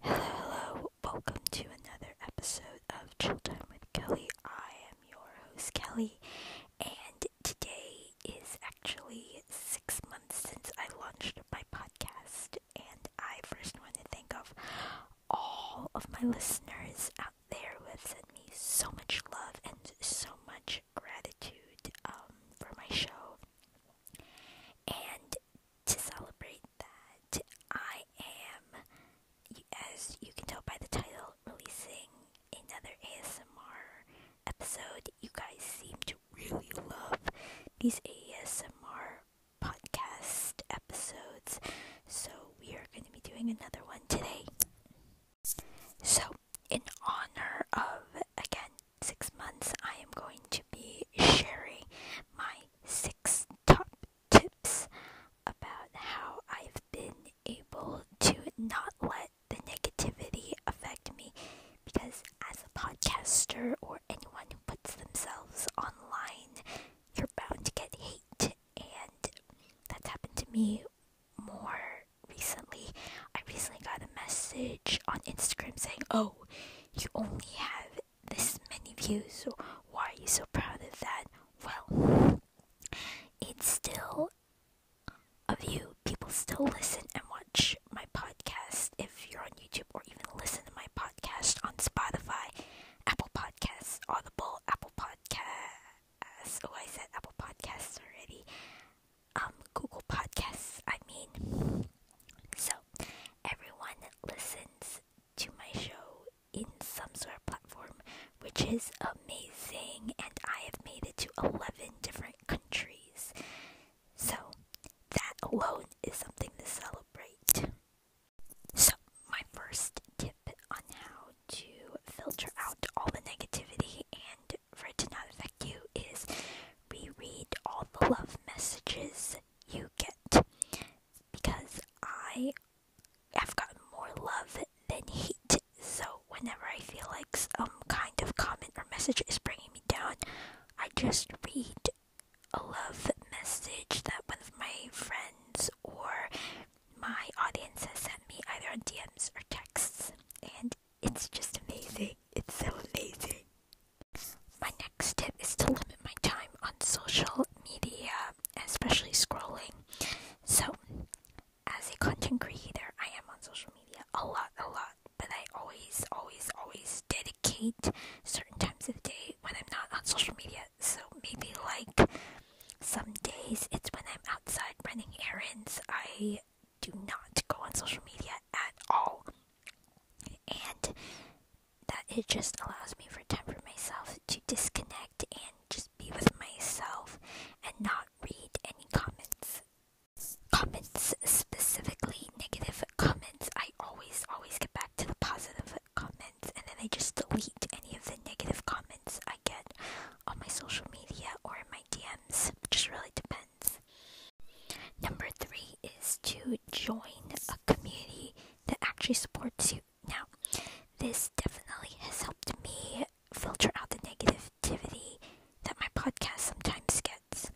Hello, hello. Welcome to another episode of Chill Time with Kelly. I am your host, Kelly, and today is actually six months since I launched my podcast. And I first want to thank all of my listeners out there who have sent me so much love and so much gratitude um, for my show. And to celebrate that, I am, as you can tell by the title, releasing another ASMR episode. You guys seem to really love these ASMR podcast episodes, so we are going to be doing another one today. So, in honor of, again, six months, I am going to be sharing my six top tips about how I've been able to not let the negativity affect me. Because as a podcaster or anyone who puts themselves online, you're bound to get hate, and that's happened to me more recently. I recently got a message on Instagram saying, Oh, you only have this many views, so why are you so proud of that? Well, it's still a view. People still listen and watch my podcast if you're on YouTube, or even listen to my podcast on Spotify, Apple Podcasts, Audible, Apple Podcasts. Oh, I said Apple Podcasts already um, Google Podcasts, I mean. So, everyone listens to my show in some sort of platform, which is amazing, and I have made it to 11 different countries. So, that alone is something to celebrate. So, my first tip on how to filter out all the negativity and for it to not affect you is reread all the love messages you get because I have gotten more love than hate. So whenever I feel like some kind of comment or message is bringing me down, I just read a love message that one of my friends or my audience has sent me either on DMs or texts. And it's just amazing. It's so amazing. My next tip is to limit my time on social media, especially scrolling. So, as a content creator, I am on social media a lot, a lot, but I always, always, always dedicate certain times of the day when I'm not on social media. So, maybe like some days it's when I'm outside running errands. I do not go on social media at all. And that it just allows me for time for myself to disconnect and just be with myself and not read any comments. Comments, specifically negative comments, I always, always get back to the positive comments and then I just delete any of the negative comments I get on my social media or in my DMs. It just really depends. Number three is to join a community that actually supports you. Now, this definitely has helped me filter out the negativity that my podcast sometimes gets.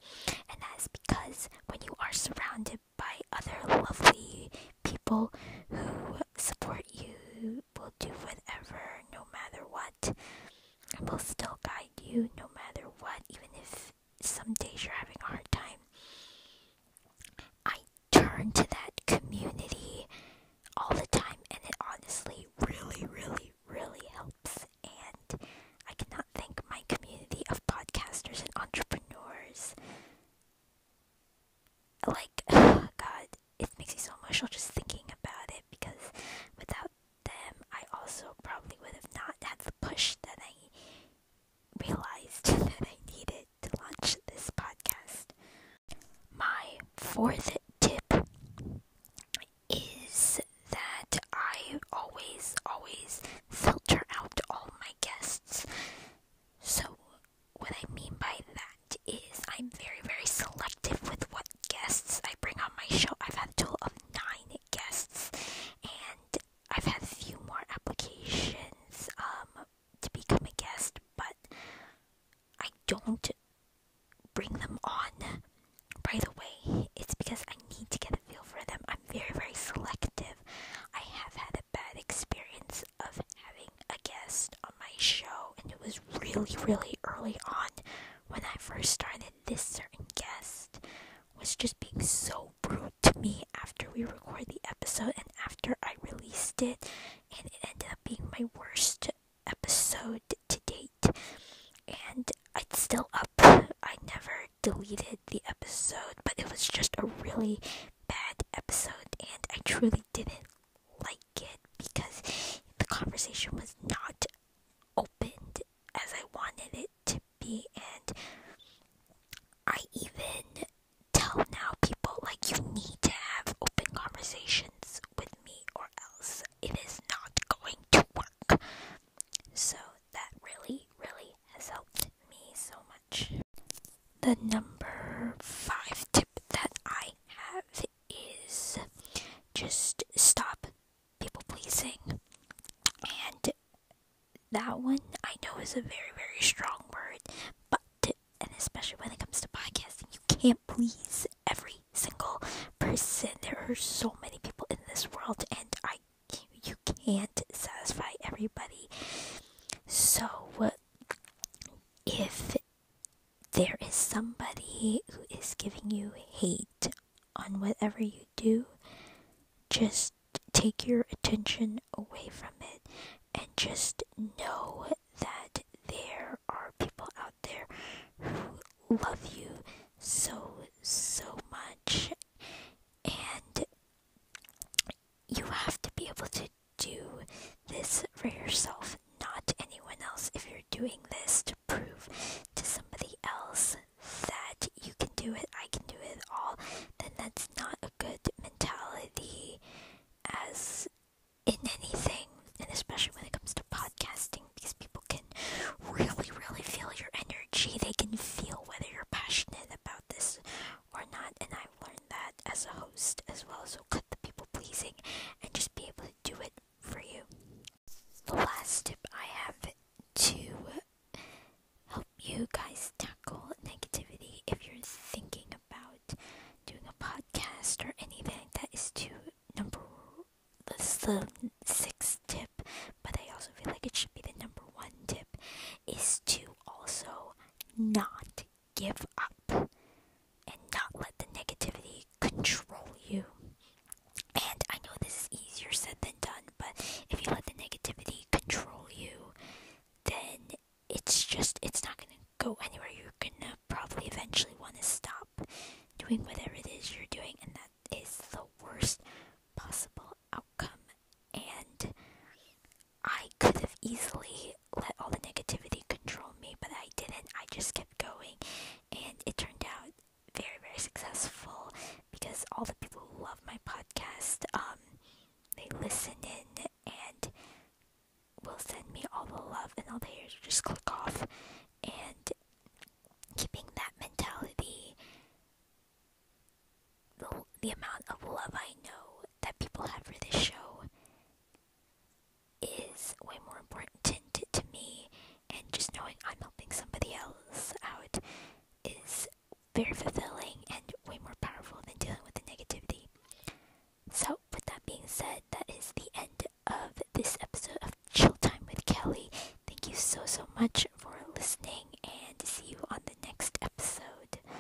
And that is because when you are surrounded by other lovely people who support you, will do whatever, no matter what, and will still guide. You no matter what, even if some days you're having a hard time. I turn to that community all the time, and it honestly really, really, really helps. And I cannot thank my community of podcasters and entrepreneurs. Like, God, it makes me so emotional just thinking about it because without them, I also probably would have not had the push that I realized that I needed to launch this podcast. My fourth tip is that I always, always filter out all my guests. So, what I mean by that is I'm very, very selective with what guests I bring on my show. I've had a total of nine guests, and I've had a few more applications um, to become a guest, but I don't bring them on By the way, It's because I need to get a feel for them. I'm very, very selective. I have had a bad experience of having a guest on my show, and it was really, really early on when I first started, this certain guest was just being so rude to me after we recorded the episode and after I released it, and it ended up being my worst episode to date. And it's still up. I never deleted the episode, but it was just a really bad episode, and I truly didn't like it because the conversation was not opened as I wanted it to be, and I even tell now people like you need to have open conversations with me, or else it is not going to work. So that really, really has helped me so much. The number five tip that I have is just stop people pleasing. And that one I know is a very, very strong word, but, and especially when it comes to podcasting, you can't please every single person. There are so many people in this world, and I, you can't satisfy everybody. So, if there is somebody who is giving you hate on whatever you do, just take your attention away from it and just know that there are people out there who love you so, so much. And you have to be able to do this for yourself, not anyone else. If you're doing this to prove to somebody else that you can do it, I can do it all, then that's not a good mentality as in anything, and especially when it comes to podcasting, because people can really, really feel your energy. They can feel whether you're passionate about this or not, and I've learned that as a host as well. So cut the people pleasing and just be able to do it for you. The last tip I have to help you guys tackle negativity if you're thinking about doing a podcast or anything that is to number that's the sixth tip, but I also feel like it should be the number one tip is to also not give up and not let the negativity control you. And I know this is easier said than done, but if you let the negativity control you, then it's just, it's not gonna go anywhere. You're gonna probably eventually wanna stop doing whatever it is you're doing, and that is the worst possible outcome. And I could have easily let all the negativity control me, but I didn't. I just kept going, and it turned out very, very successful because all the people who love my podcast, um, they listen in and will send me all the love, and all the haters just click off. And keeping that mentality, the, the amount of love I know that people have for this show is way more important to me, and just knowing I'm helping somebody else out is very fulfilling and way more powerful than dealing with the negativity. So, with that being said, that is the end of this episode of Chill Time with Kelly. Thank you so, so much for listening, and see you on the next episode.